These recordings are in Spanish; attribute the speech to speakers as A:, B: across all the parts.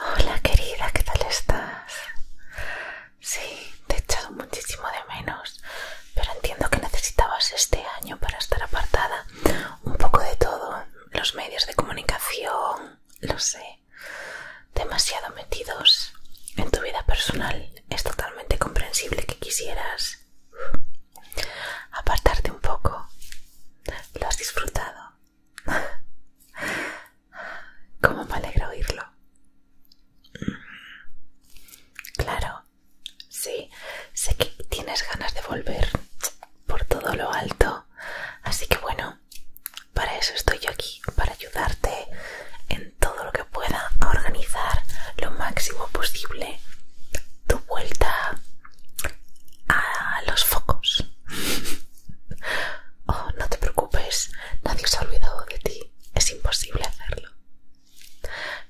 A: Hola querida, ¿qué tal estás? Sí, te he echado muchísimo de menos, pero entiendo que necesitabas este año para estar apartada un poco de todo, los medios de comunicación, lo sé, demasiado metidos en tu vida personal. Es totalmente comprensible que quisieras apartarte un poco. ¿Lo has disfrutado? ¿Cómo me alegra oírlo? Claro, sí, sé que tienes ganas de volver por todo lo alto, así que bueno, para eso estoy yo aquí, para ayudarte en todo lo que pueda a organizar lo máximo posible tu vuelta a los focos. Oh, no te preocupes, nadie se ha olvidado de ti. Es imposible hacerlo.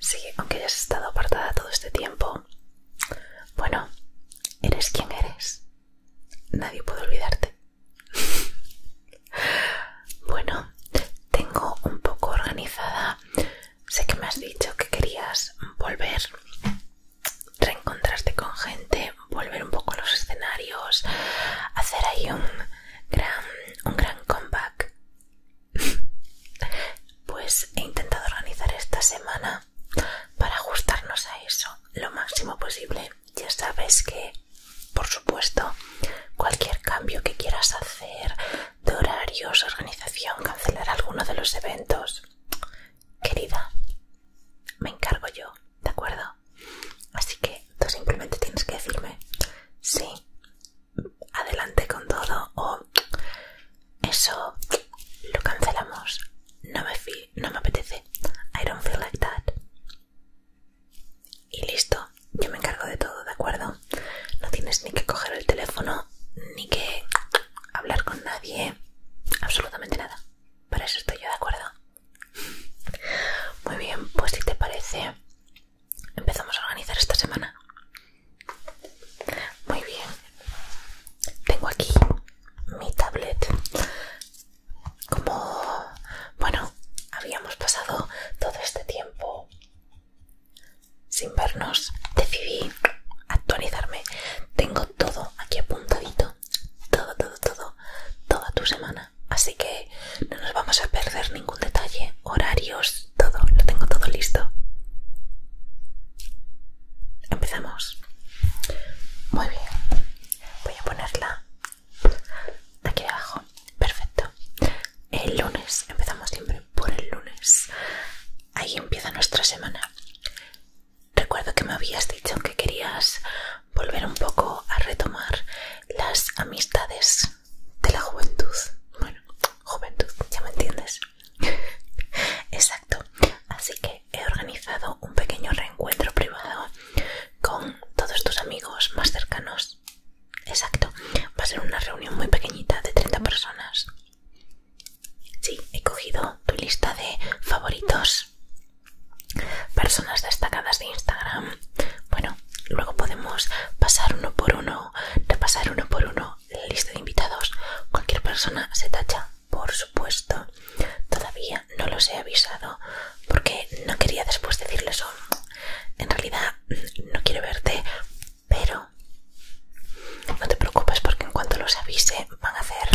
A: Sí, aunque hayas estado apartada todo este tiempo. Bueno, eres quien eres. Nadie puede olvidarte. bueno, tengo un poco organizada. Sé que me has dicho que querías volver reencontrarte con gente, volver un poco a los escenarios, hacer ahí un gran, un comeback. pues he intentado organizar esta semana para ajustarnos a eso lo máximo posible. Ya sabes que, por supuesto, cualquier cambio que quieras hacer de horarios, organización, cancelar alguno de los eventos, querida, me encargo yo, ¿de acuerdo? Así que tú simplemente tienes que decirme, sí, adelante con todo o eso lo cancelamos, no me, no me apetece, I don't feel like that. Y listo, yo me encargo de todo, ¿de acuerdo? No tienes ni que coger el teléfono, ni que hablar con nadie, absolutamente nada. Para eso estoy yo, ¿de acuerdo? Muy bien, pues si te parece, empezamos a organizar esta semana. Muy bien. Tengo aquí mi tablet. Como, bueno, habíamos pasado todo este tiempo sin vernos, decidí actualizarme. Tengo todo aquí apuntadito todo, todo, todo, toda tu semana. Así que no nos vamos a perder ningún detalle, horarios, todo, lo tengo todo listo. Empezamos. Muy bien. Voy a ponerla aquí abajo. Perfecto. El lunes, empezamos siempre por el lunes. Ahí empieza nuestra semana. Recuerdo que me habías dicho que querías volver un poco a retomar las amistades de la juventud. Bueno, juventud, ya me entiendes. Exacto. Así que he organizado un pequeño reencuentro privado con todos tus amigos más cercanos. Exacto. Va a ser una reunión muy pequeñita de 30 personas. Sí, he cogido tu lista de favoritos. Personas destacadas de Instagram. Bueno, luego podemos pasar uno por uno, repasar uno por uno la lista de invitados. Cualquier persona se tacha, por supuesto. Todavía no los he avisado porque no quería después decirles eso En realidad no quiero verte, pero no te preocupes porque en cuanto los avise van a hacer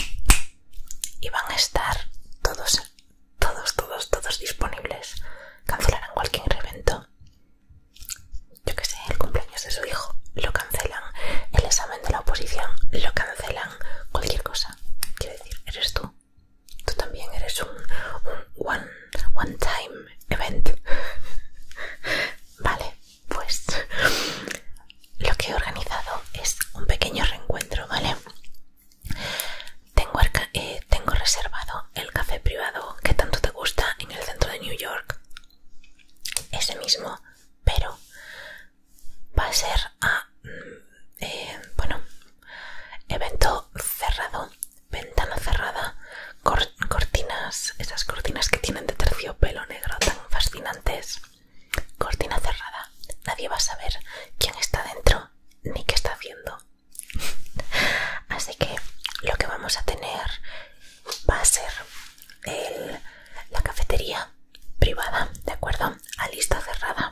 A: y van a estar todos, todos, todos, todos disponibles. Cancelarán cualquier evento. Yo que sé, el cumpleaños de su hijo lo cancelan, el examen de la oposición lo cancelan, cualquier cosa. Quiero decir, eres tú. Tú también eres un, un one, one time event. vale pues lo que he organizado es un pequeño reencuentro, ¿vale? Eh, tengo, reservado el café privado que tanto te gusta en el centro de New York. Ese mismo, pero va a ser a, mm, eh, bueno, evento cerrado, ventana cerrada, cortinas, esas cortinas que tienen de terciopelo negro tan fascinantes. Cortina cerrada. Nadie va a saber quién está dentro ni qué está haciendo. Así que lo que vamos a tener va a ser la cafetería privada, ¿de acuerdo? A lista cerrada.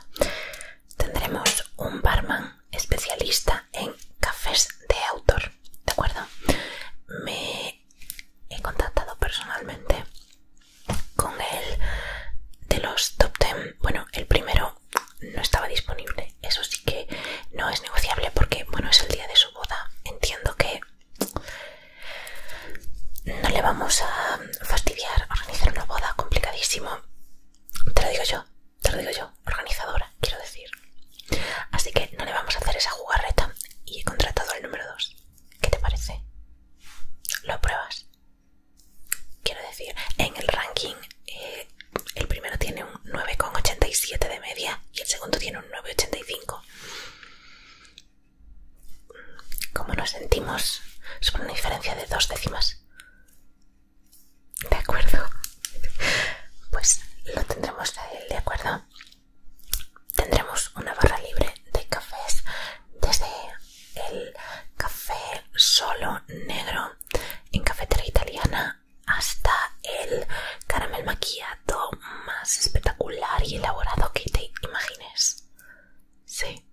A: Tendremos un barman especialista en cafés de autor, ¿de acuerdo? Me he contactado personalmente con el de los top 10. Bueno, el primero no estaba disponible. Eso sí que no es negociable porque, bueno, es el día de su boda. Entiendo que no le vamos a fastidiar organizar una boda complicadísimo. Te lo digo yo, te lo digo yo, organizadora, quiero decir. Así que no le vamos a hacer esa jugarreta y he contratado al número dos, ¿Qué te parece? lo pruebas. Quiero decir, en el ranking eh, el primero tiene un 9,87 de media y el segundo tiene un 9,85. ¿Cómo nos sentimos? Sobre una diferencia de dos décimas. ¿De acuerdo? Pues lo tendremos a él, ¿de acuerdo? tendremos una barra libre de cafés desde el café solo negro en cafetera italiana hasta el caramel macchiato más espectacular y elaborado que te imagines. Sí.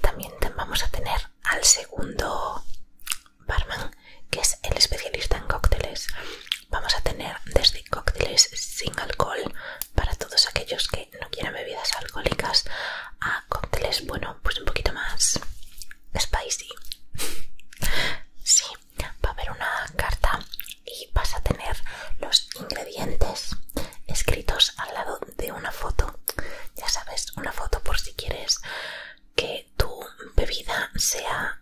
A: También vamos a tener al segundo barman, que es el especialista en cócteles. Vamos a tener desde cócteles sin alcohol para todos aquellos que no quieran bebidas alcohólicas a cócteles, bueno, pues un poquito más spicy. Sí, va a haber una carta y vas a tener los ingredientes escritos al lado de una foto. Ya sabes, una foto por si quieres que tu bebida sea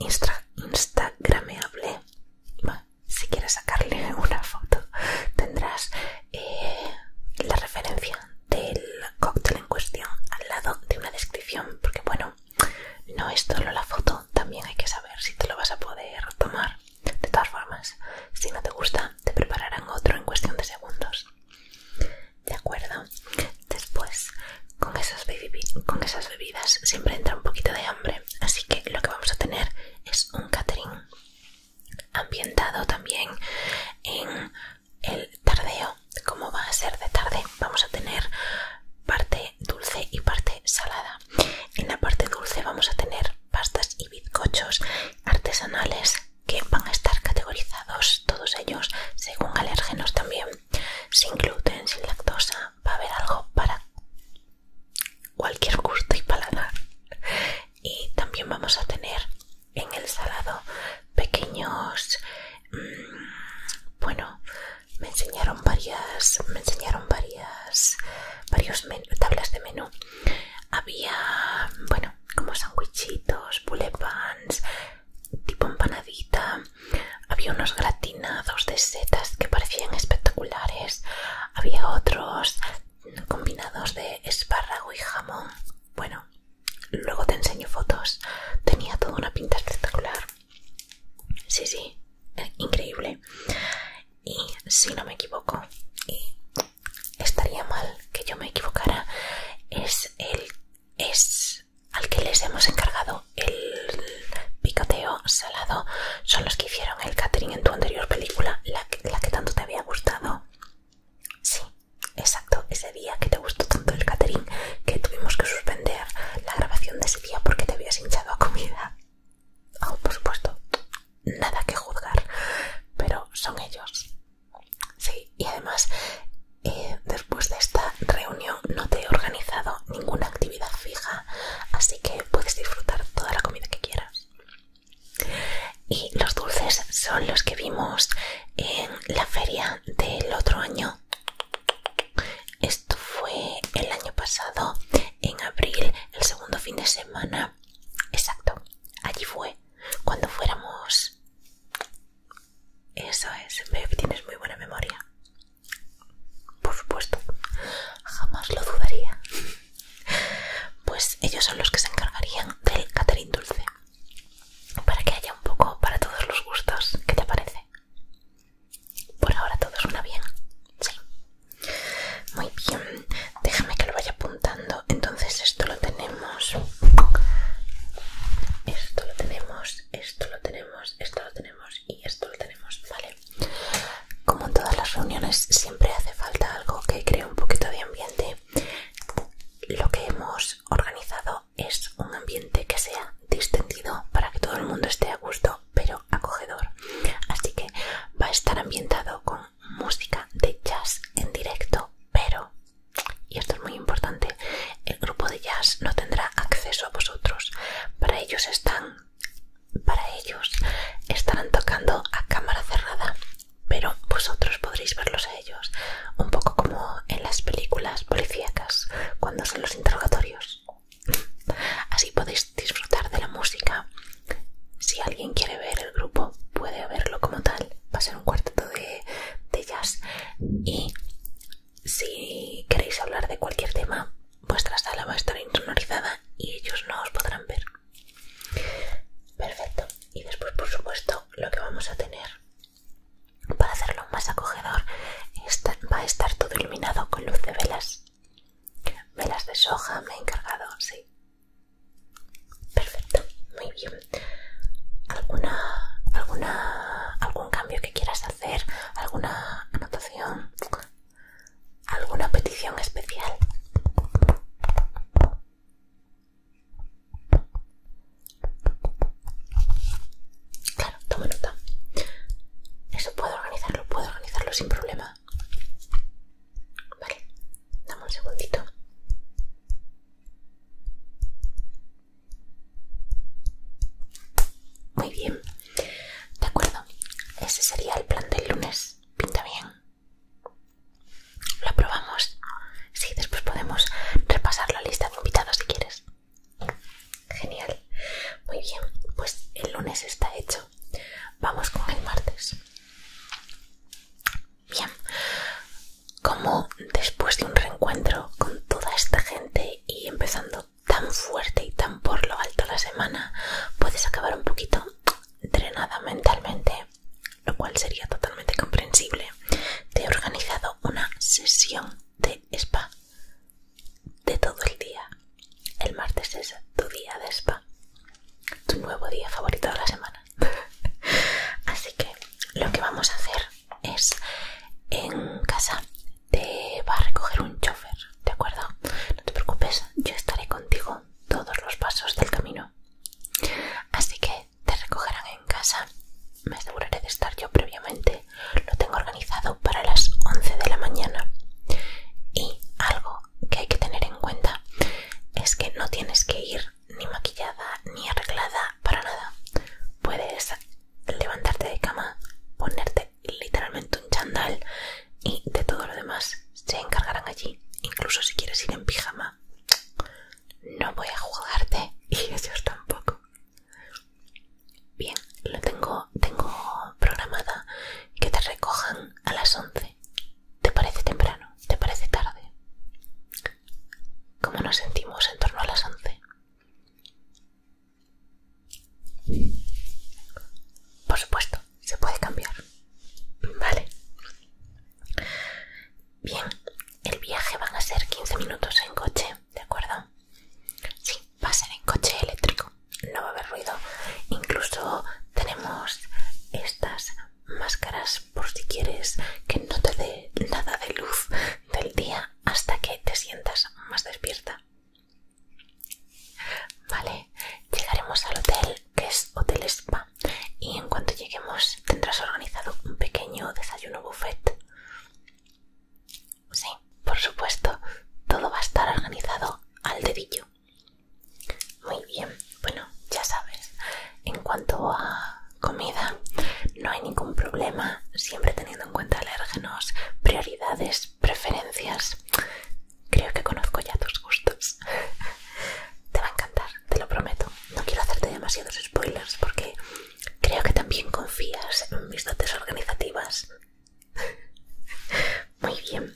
A: mm, instagrameable si quieres sacarle una foto tendrás eh, la referencia del cóctel en cuestión al lado de una descripción porque bueno no es solo la foto también hay que saber si te lo vas a poder tomar de todas formas si no te gusta te prepararán otro en cuestión de segundos de acuerdo después con esas bebidas siempre entra un poquito de hambre Así que lo que vamos a tener es un catering ambientado también en el tardeo. Como va a ser de tarde, vamos a tener parte dulce y parte salada. En la parte dulce vamos a tener pastas y bizcochos artesanales que van a estar categorizados todos ellos según alérgenos también, sin gluten, sin lactosa, va a haber algo para cualquier gusto y paladar y también vamos a tener en el salado pequeños mm, bueno me enseñaron varias me enseñaron varias varios tablas de menú había bueno como sandwichitos bulepans tipo empanadita había unos gratinados de setas que parecían espectaculares. Había otros combinados de espárrago y jamón. Bueno, luego te enseño fotos. Tenía toda una pinta espectacular. Sí, sí, eh, increíble. Y si no me equivoco, y estaría mal que yo me equivocara, es el es al que les hemos encargado el picoteo salado son los que hicieron el catering en tu anterior película, la que, tanto te había gustado. Sí, exacto, ese día que te gustó tanto el catering que tuvimos que suspender la grabación de ese día porque te habías hinchado a comida. Oh, por supuesto, nada que juzgar, pero son ellos. Sí, y además, eh, después de esta reunión no te he organizado ninguna actividad fija así que puedes disfrutar toda la comida que quieras. Y los dulces son los que vimos en la feria del otro año. Esto fue el año pasado, en abril, el segundo fin de semana. Exacto, allí fue, cuando fuéramos... Eso es, me tienes muy buena memoria. Por supuesto, jamás lo dudaría. Pues ellos son los que se encargarían del catering dulce. Para que haya un poco para todos los gustos. ¿Qué te parece? Por ahora todo suena bien. Sí. Muy bien. Déjame que lo vaya apuntando. Entonces esto lo tenemos. Esto lo tenemos. Esto lo tenemos. Esto lo tenemos. Y esto lo tenemos. Vale. Como en todas las reuniones siempre hace falta algo que cree un poquito de ambiente. Lo que hemos organizado es un ambiente que sea distendido para que todo el mundo esté a gusto, pero acogedor. Así que va a estar ambientado con música de jazz en directo, pero, y esto es muy importante, el grupo de jazz no tendrá acceso a vosotros. Para ellos están para ellos estarán tocando a cámara cerrada, pero vosotros podréis verlos a ellos, un poco como en las películas policíacas, cuando son los interrogatorios. Así podéis disfrutar de la música. Si alguien quiere ver el grupo, puede verlo como tal. Va a ser un cuarteto de, jazz si queréis hablar de cualquier tema, vuestra sala va a estar insonorizada y ellos no os podrán ver. Perfecto. Y después, por supuesto, lo que vamos a tener para hacerlo más acogedor va a estar todo iluminado con luz de velas. Velas de soja me he encargado, sí. Perfecto, muy bien. ¿Alguna, alguna, ¿Algún cambio que quieras hacer alguna anotación, alguna petición especial. Claro, toma nota. Eso puedo organizarlo, puedo organizarlo sin problema. Vale, dame un segundito. Muy bien. De acuerdo, ese sería el plan del lunes. Pinta bien. Lo aprobamos. Sí, después podemos repasar la lista de invitados si quieres. Genial. Muy bien, pues el lunes está hecho. Vamos con el martes. Bien, como después de un reencuentro con toda esta gente y empezando tan fuerte y tan por lo alto la semana, puedes acabar un poquito drenada mentalmente, lo cual sería totalmente comprensible. Te he organizado una sesión de spa de todo el día. El martes es tu día de spa, tu nuevo día favorito de la semana. Así que lo que vamos a hacer es en casa te va a recoger un chofer, ¿de acuerdo? No te preocupes, yo estaré contigo todos los pasos del camino. Así que te recogerán en casa. Me aseguraré de estar yo previamente. Lo tengo organizado para las 11 de la mañana. Y algo que hay que tener en cuenta es que no tienes que ir ni maquillada ni arreglada para nada. Puedes levantarte de cama, ponerte literalmente un chandal y de todo lo demás se encargarán allí. Incluso si quieres ir en pijama, no voy a jugarte y ellos tampoco. Bien, lo tengo, tengo programada que te recojan a las once ¿Te parece temprano? ¿Te parece tarde? ¿Cómo nos sentimos en torno a las once por supuesto, se puede cambiar. Vale. Bien, el viaje van a ser 15 minutos en coche, ¿de acuerdo? Sí, va a ser en coche eléctrico, no va a haber ruido. Incluso tenemos estas máscaras por si quieres que no te dé nada de luz del día hasta que te sientas más despierta. Vale, llegaremos al hotel que es Hotel Spa y en cuanto lleguemos tendrás organizado un pequeño desayuno buffet. Sí, por supuesto, todo va a estar organizado al dedillo. Muy bien, bueno, ya sabes, en cuanto a comida, no hay ningún problema, siempre teniendo en cuenta alérgenos, prioridades, preferencias. Creo que conozco ya tus gustos. Te va a encantar, te lo prometo. No quiero hacerte demasiados spoilers porque creo que también confías en mis dotes organizativas. Muy bien.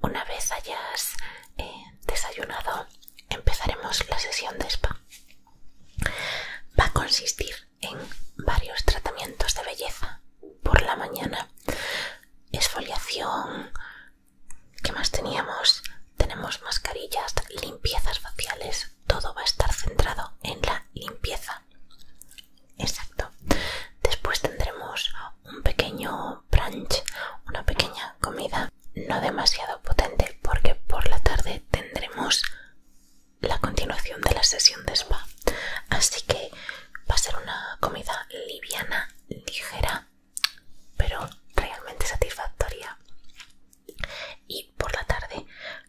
A: Una vez hayas eh, desayunado, empezaremos la sesión de spa. Va a consistir en varios tratamientos de belleza por la mañana. Esfoliación. ¿Qué más teníamos? Tenemos mascarillas, limpiezas faciales. Todo va a estar centrado en la limpieza. Exacto. Después tendremos un pequeño brunch, una pequeña comida no demasiado potente porque por la tarde tendremos la continuación de la sesión de spa. Así que va a ser una comida liviana, ligera, pero realmente satisfactoria. Y por la tarde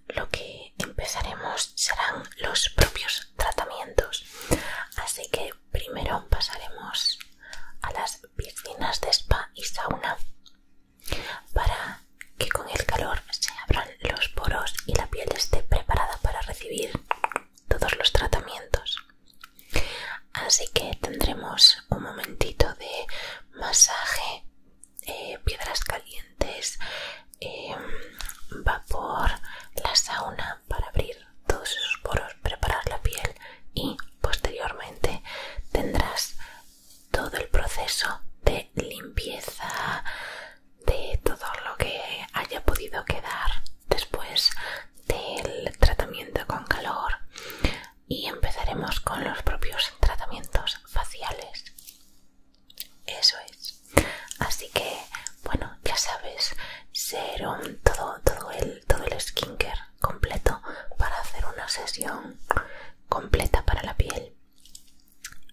A: lo que empezaremos serán los propios tratamientos. Así que primero pasaremos a las piscinas de spa y sauna para que con el calor se abran los poros y la piel esté preparada para recibir todos los tratamientos. Así que tendremos un momentito de masaje, eh, piedras calientes, em, vapor, la sauna para abrir todos esos poros, preparar la piel y posteriormente tendrás todo el proceso de limpieza de todo lo que haya podido quedar después del tratamiento con calor y empezaremos con los propios tratamientos faciales eso es así que bueno ya sabes un todo todo el todo el skincare completo para hacer una sesión completa para la piel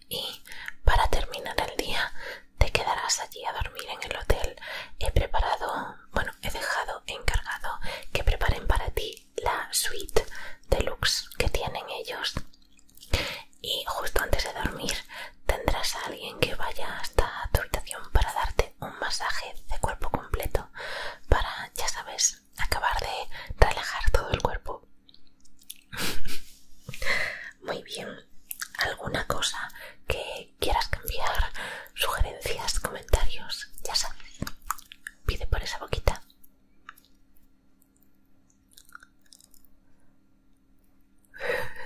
A: y para terminar el día te quedarás allí a dormir en el hotel. He preparado, bueno, he dejado encargado que preparen para ti la suite de luxe que tienen ellos. Y justo antes de dormir tendrás a alguien que vaya hasta tu habitación para darte un masaje de cuerpo completo para, ya sabes, acabar de relajar todo el cuerpo. Muy bien. ¿Alguna cosa que quieras cambiar? Sugerencias, comentarios, ya sabes. Pide por esa boquita.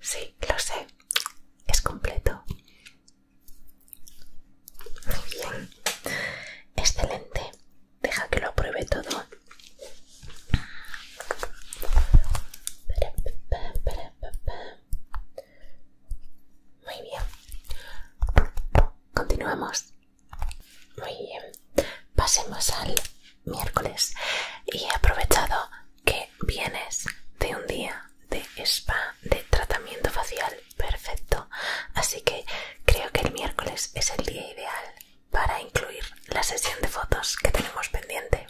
A: Sí, lo sé. Es completo. Muy bien. Excelente. Deja que lo pruebe todo. Muy bien. Continuamos. Muy bien. Pasemos al miércoles. Y he aprovechado que vienes de un día de spa, de tratamiento facial perfecto. Así que creo que el miércoles es el día ideal para incluir la sesión de fotos que tenemos pendiente.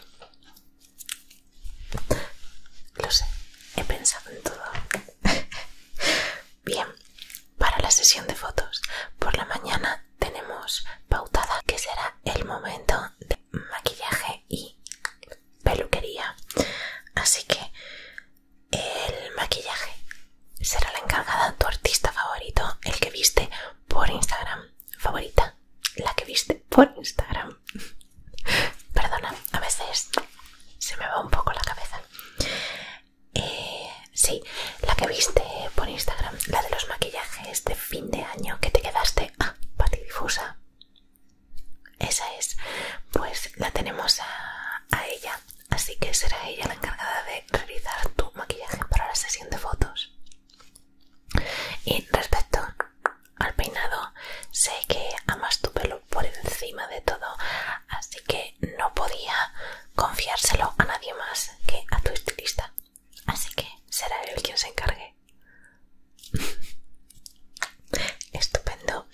A: Lo sé, he pensado en todo. Bien, para la sesión de fotos por la mañana tenemos pautada que será el momento de maquillaje y peluquería. Así que el maquillaje será la encargada tu artista favorito, el que viste por Instagram. Favorita, la que viste por Instagram. Perdona, a veces se me va un poco la cabeza. Eh, sí, la que viste por Instagram, la de los maquillajes de fin de año que te quedaste. Ah, Difusa Esa es. Pues la tenemos a ella así que será ella la encargada de realizar tu maquillaje para la sesión de fotos. Y respecto al peinado, sé que amas tu pelo por encima de todo, así que no podía confiárselo a nadie más que a tu estilista. Así que será él quien se encargue. Estupendo.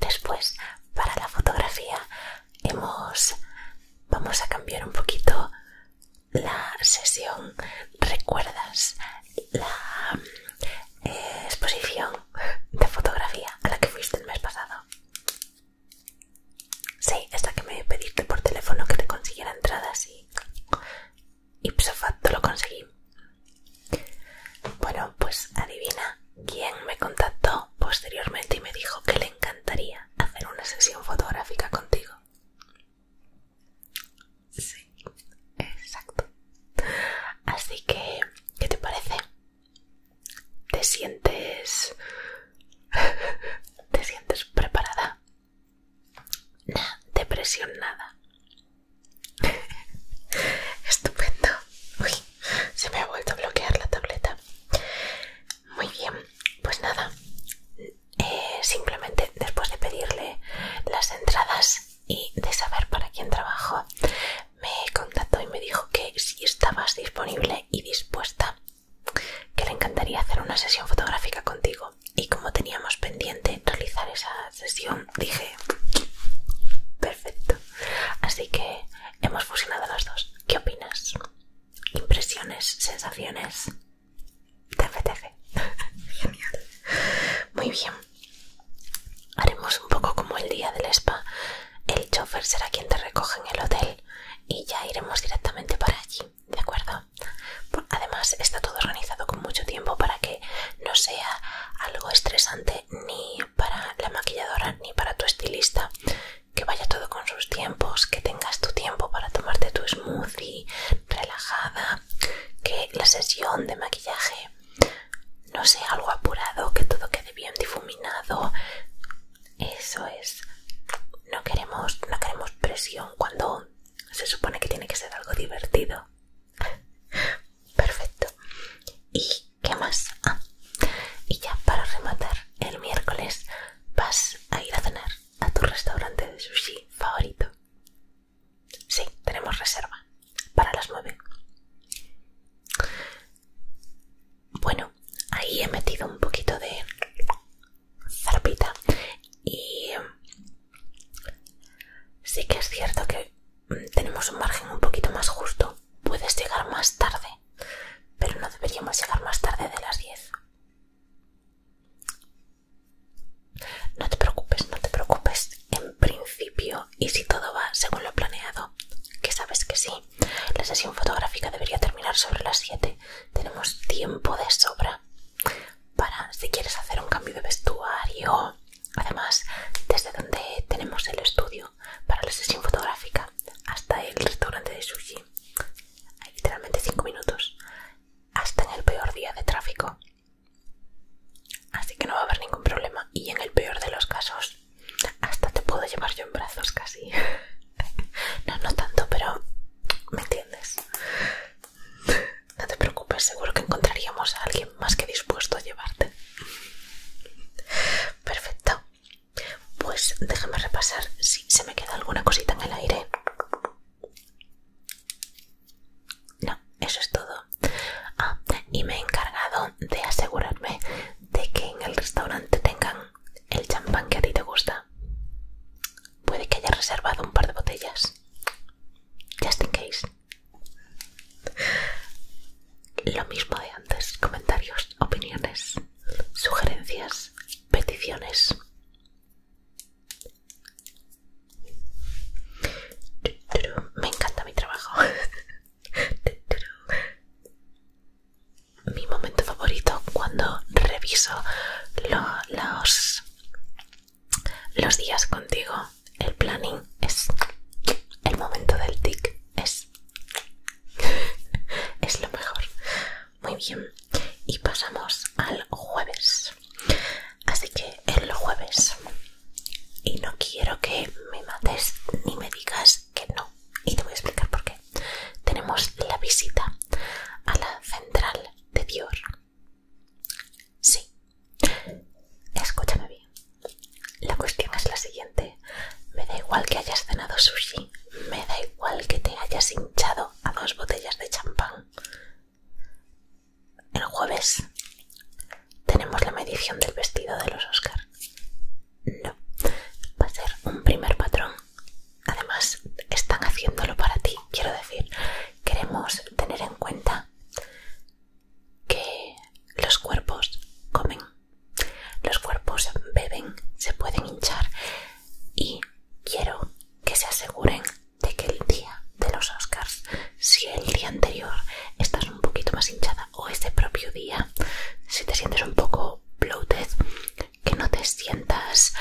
A: Después, para la fotografía, hemos vamos a cambiar un poquito la sesión. ¿Recuerdas la eh, exposición de fotografía a la que fuiste el mes pasado? Sí, esta que me pediste por teléfono que te consiguiera entradas y ipso pues, lo conseguí. Bueno, pues adivina ¿Quién me contactó posteriormente y me dijo que le encantaría hacer una sesión fotográfica contigo. Sí, exacto. Así que, ¿qué te parece? ¿Te sientes... ¿Te sientes preparada? Nah, depresionada Estupendo. Uy, se me ha vuelto a bloquear la tableta. Muy bien, pues nada, eh, simplemente después de pedirle las entradas y de saber para quién trabajo, me contactó y me dijo que si estabas disponible y dispuesta, que le encantaría hacer una sesión fotográfica contigo. Y como teníamos pendiente realizar esa sesión, dije, perfecto. Así que hemos fusionado las dos. ¿Qué opinas? impresiones, sensaciones. TFTF. Genial. Muy bien. Haremos un poco como el día del spa. El chofer será quien te recoge en el hotel y ya iremos directamente para allí, ¿de acuerdo? Además está todo organizado con mucho tiempo para que no sea algo estresante ni para la maquilladora ni para tu estilista. Que vaya todo con sus tiempos, que tengas tu tiempo para tomarte tu smoothie relajada, que la sesión de maquillaje no sea algo apurado, que todo quede bien difuminado. Eso es. No queremos, no queremos presión cuando se supone que tiene que ser algo divertido. Perfecto. Y ¿Qué más? Ah, y ya para rematar, el miércoles vas a ir a cenar a tu restaurante de sushi favorito. Sí, tenemos reserva para las nueve. Bueno, ahí he metido un poquito de zarpita y em, sí que es cierto que mm, tenemos un margen un poquito más justo Puedes llegar más tarde, pero no deberíamos llegar más tarde de las 10. No te preocupes, no te preocupes. En principio, y si todo va según lo planeado, que sabes que sí, la sesión fotográfica debería terminar sobre las 7. Tenemos tiempo de sobra para si quieres hacer un cambio de vestuario. Además, desde donde tenemos el estudio para la sesión fotográfica hasta el restaurante de sushi. Hay literalmente 5 minutos. Hasta en el peor día de tráfico. Así que no va a haber ningún problema. Y en el peor de los casos, hasta te puedo llevar yo en brazos casi. no, no tanto, pero me entiendes. No te preocupes, seguro que encontraríamos a alguien más que dispuesto a llevarte. Perfecto. Pues déjame repasar si se me queda alguna cosita en el aire. No, eso es todo. Ah, y me he encargado de asegurarme de que en el restaurante tengan el champán que a ti te gusta. Puede que haya reservado un par de botellas. Just in case. Lo mismo de antes, comentarios, opiniones, sugerencias, peticiones. Me encanta mi trabajo. Mi momento favorito cuando reviso los, los días contigo, el planning, es el momento del tic, es es lo mejor. Muy bien. Y pasamos al jueves. Así que en los jueves. Y no quiero que me mates ni me digas que no. Y te voy a explicar por qué. Tenemos la visita a la central de Dior. Sí. Escúchame bien. La cuestión es la siguiente. Me da igual que hayas cenado sushi. Me da igual que te hayas hinchado a dos botellas de champán. El jueves tenemos la medición del vestido de los Oscar. No, va a ser un primer patrón. Además, están haciéndolo para ti. Quiero decir, queremos tener en cuenta que los cuerpos comen los cuerpos beben, se pueden hinchar y quiero que se aseguren de que el día de los Oscars, si el día anterior estás un poquito más hinchada o ese propio día, si te sientes un poco bloated, que no te sientas...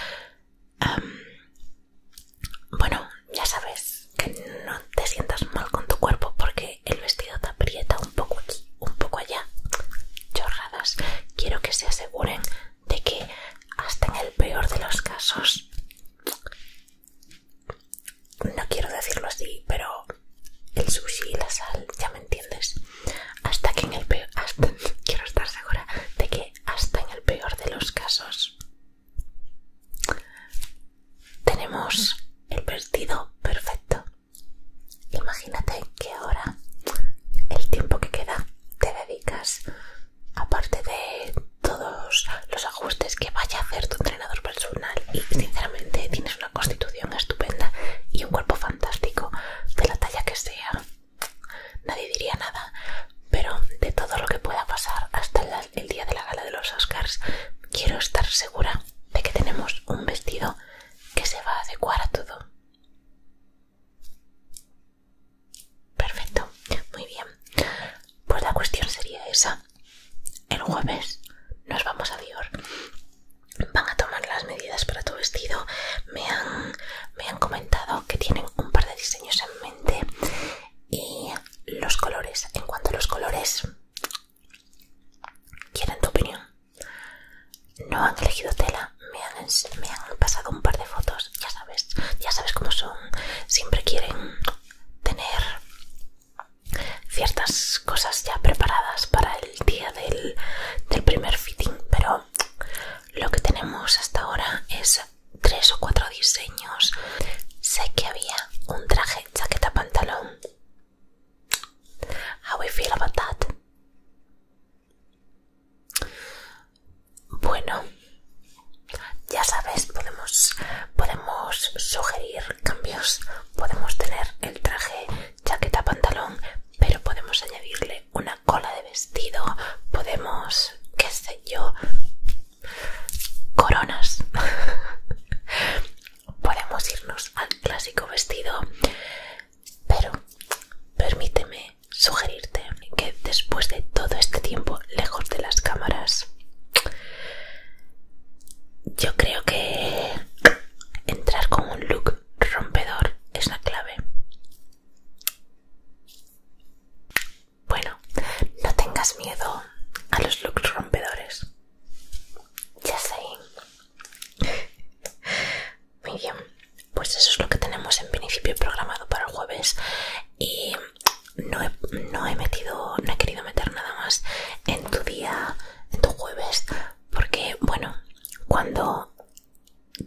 A: bueno, ya sabes, que no te sientas mal con tu cuerpo porque el vestido te aprieta un poco aquí, un poco allá. Chorradas. Quiero que se aseguren de que hasta en el peor de los casos... No quiero decirlo así, pero el sushi y la sal, ya me entiendes. Hasta que en el peor... quiero estar segura de que hasta en el peor de los casos tenemos el vestido perfecto. Imagínate que ahora el tiempo que queda te dedicas, aparte de todos los ajustes que vaya a hacer tu entrenador personal, y sinceramente tienes una constitución estupenda y un cuerpo fantástico, de la talla que sea, nadie diría nada, pero de todo lo que pueda pasar hasta el día de la gala de los Oscars, quiero estar segura de que tenemos un vestido que se va a adecuar a todo. Perfecto, muy bien. Pues la cuestión sería esa. El jueves nos vamos a Dior. Van a tomar las medidas para tu vestido. Me han, me han comentado que tienen un par de diseños en mente. Y los colores. En cuanto a los colores, quieren tu opinión. No han elegido tela, me han, pasado un par de fotos, ya sabes, ya sabes cómo son. Siempre quieren tener ciertas cosas ya preparadas para el día del, del primer fitting, pero lo que tenemos hasta ahora es tres o cuatro diseños. Sé que había un traje, chaqueta, pantalón How we feel about that? Bueno, ya sabes, podemos, podemos sugerir cambios. Podemos tener el traje, chaqueta, pantalón, pero podemos añadirle una cola de vestido. Podemos, qué sé yo, coronas. podemos irnos al clásico vestido, pero permíteme sugerirte que después de todo este tiempo lejos de las cámaras, yo creo que entrar con un look rompedor es la clave. Bueno, no tengas miedo a los looks rompedores. Ya sé, Muy bien, pues eso es lo que tenemos en principio programado para el jueves y no he, metido, no he querido meter nada más en tu día, en tu jueves, porque bueno, cuando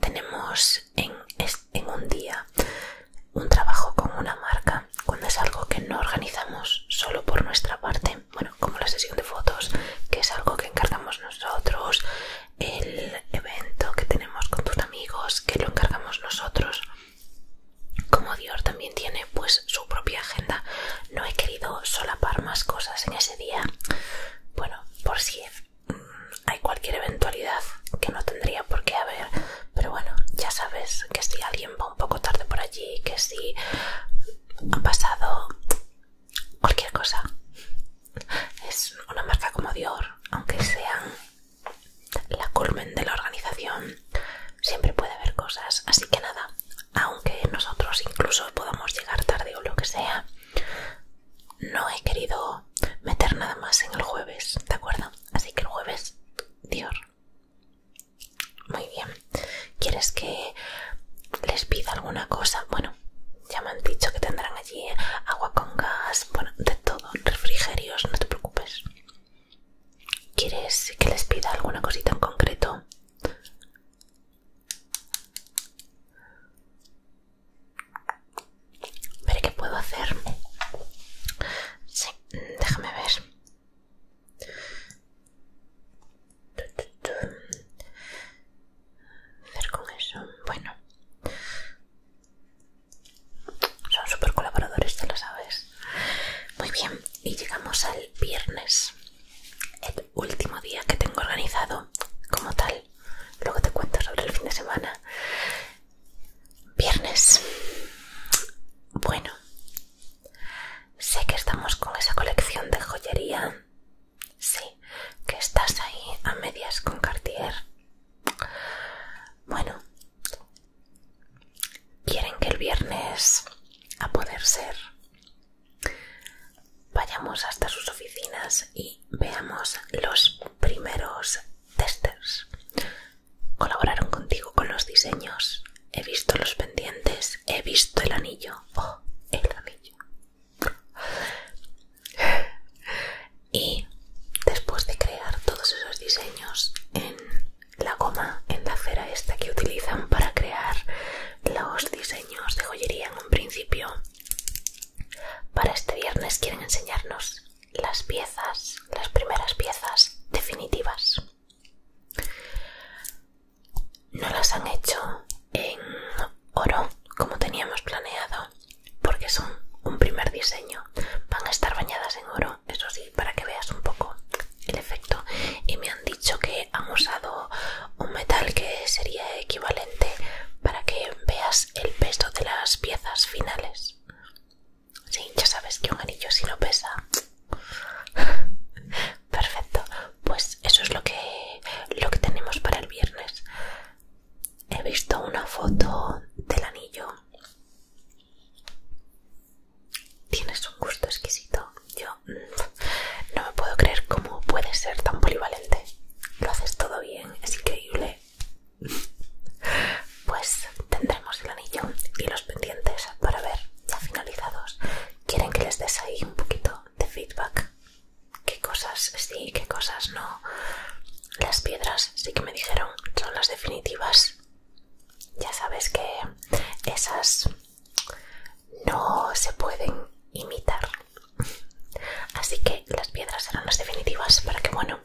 A: tenemos en, en un día un trabajo con una marca, cuando es algo que no organizamos solo por nuestra parte, bueno, como la sesión de fotos, que es algo que encargamos nosotros, el evento que tenemos con tus amigos, que lo encargamos nosotros. Como Dior también tiene pues su propia agenda, no he querido solapar más cosas en ese día. Bueno, por si mm, hay cualquier eventualidad que no tendría por qué haber, pero bueno, ya sabes que si alguien va un poco tarde por allí, que si ha pasado cualquier cosa. Es una marca como Dior, aunque sean la culmen de la organización, siempre puede haber cosas. Así que nada, aunque nosotros incluso podamos llegar tarde o lo que sea, no he querido meter nada más en el jueves, ¿de acuerdo? Así que el jueves, Dior, muy bien. ¿Quieres que les pida alguna cosa? Bueno, ya me han dicho que tendrán allí agua con gas, bueno, de todo, refrigerios, no te preocupes. ¿Quieres que les pida alguna cosita en concreto? Veré qué puedo hacer. Sí, déjame ver hacer con eso? Bueno, son súper colaboradores, ya lo sabes. Muy bien, y llegamos al viernes, el último día que tengo organizado como tal. Luego te cuento sobre el fin de semana. Viernes. Bueno, Sé que estamos con esa colección de joyería. Sí, que estás ahí a medias con Cartier. Bueno, quieren que el viernes, a poder ser, vayamos hasta sus oficinas y veamos los primeros testers. Colaboraron contigo con los diseños. He visto los pendientes, he visto el anillo. Oh, el anillo. Y después de crear todos esos diseños en la goma, en la cera esta que utilizan para crear los diseños de joyería en un principio, para este viernes quieren enseñarnos las piezas, las primeras piezas definitivas. No las han hecho en oro como teníamos planeado porque son un primer diseño. Van a estar bañadas en oro, eso sí, para que veas un poco el efecto. Y me han dicho que han usado un metal que sería equivalente para que veas el peso de las piezas finales. Sí, ya sabes que un anillo si no pesa Perfecto, pues eso es lo que, tenemos para el viernes. He visto una foto del anillo. Tienes un gusto exquisito. Yo mm, no me puedo creer cómo puedes ser tan polivalente. Lo haces todo bien, es increíble. Pues tendremos el anillo y los pendientes para ver ya finalizados quieren que les des ahí un poquito de feedback. ¿Qué cosas sí, qué cosas no? Las piedras sí que me dijeron son las definitivas. Ya sabes que esas no se pueden imitar. Así que las piedras serán las definitivas para que, bueno,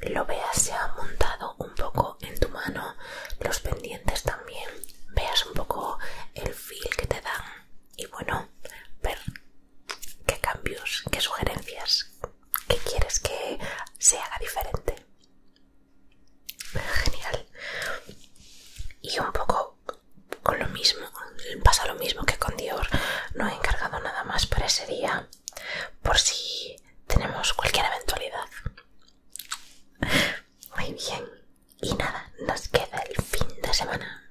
A: lo veas se ha montado un poco en tu mano, los pendientes también, veas un poco el feel que te dan y bueno, ver qué cambios, qué sugerencias, qué quieres que se haga diferente. Genial. Y un poco con lo mismo, pasa lo mismo que con Dior, no he encargado nada más para ese día por si tenemos cualquier eventualidad. Muy bien. Y nada, nos queda el fin de semana.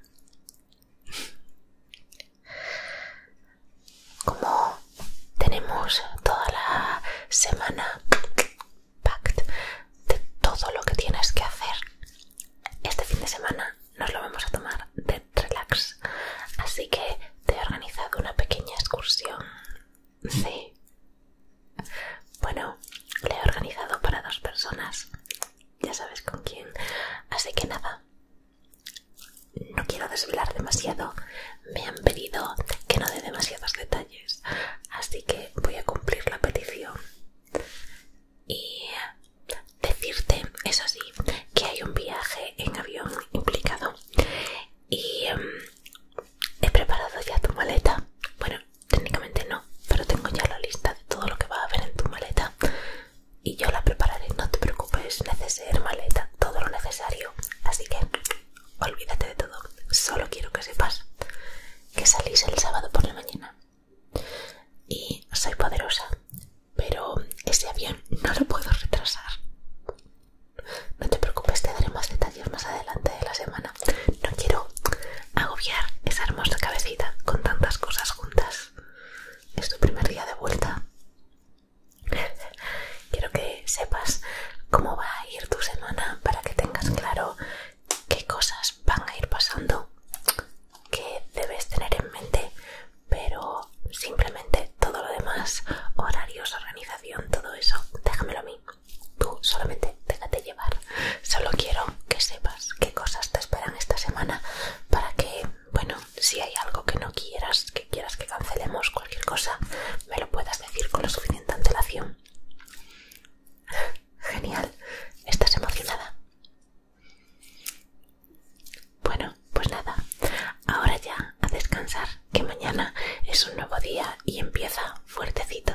A: Como tenemos toda la semana packed de todo lo que tienes que hacer, este fin de semana nos lo vamos a tomar de relax. Así que te he organizado una pequeña excursión Sí. Bueno, le he organizado para dos personas. Ya sabes con quién. Así que nada. No quiero desvelar demasiado. Me han pedido que no dé demasiados detalles. Así que voy a cumplir la petición. Y decirte, eso sí, que hay un viaje en avión implicado. Y em, he preparado ya tu maleta. Bueno, técnicamente no, pero tengo ya la lista de todo lo que va a haber en tu maleta y yo la prepararé. No te preocupes, neceser maleta, todo lo necesario. Así que olvídate de todo. Solo quiero que sepas que salís el sábado por la mañana y soy poderosa, pero ese avión no lo puedo retrasar. No te preocupes, te daré más detalles más adelante de la semana. No quiero agobiar esa hermosa cabecita con tantas cosas juntas. Es tu primer día de vuelta. Quiero que sepas cómo va a ir tu semana para que tengas claro qué cosas van a ir pasando, qué debes tener en mente, pero simplemente todo lo demás, horarios, organización, todo eso, déjamelo a mí. Tú solamente déjate llevar. Solo quiero que sepas qué cosas te esperan esta semana para que, bueno, si hay algo que no quieras, que quieras que cancelemos cualquier cosa, me lo puedas decir con lo suficiente antelación. Genial. ¿Estás emocionada? Bueno, pues nada. Ahora ya a descansar, que mañana es un nuevo día y empieza fuertecito.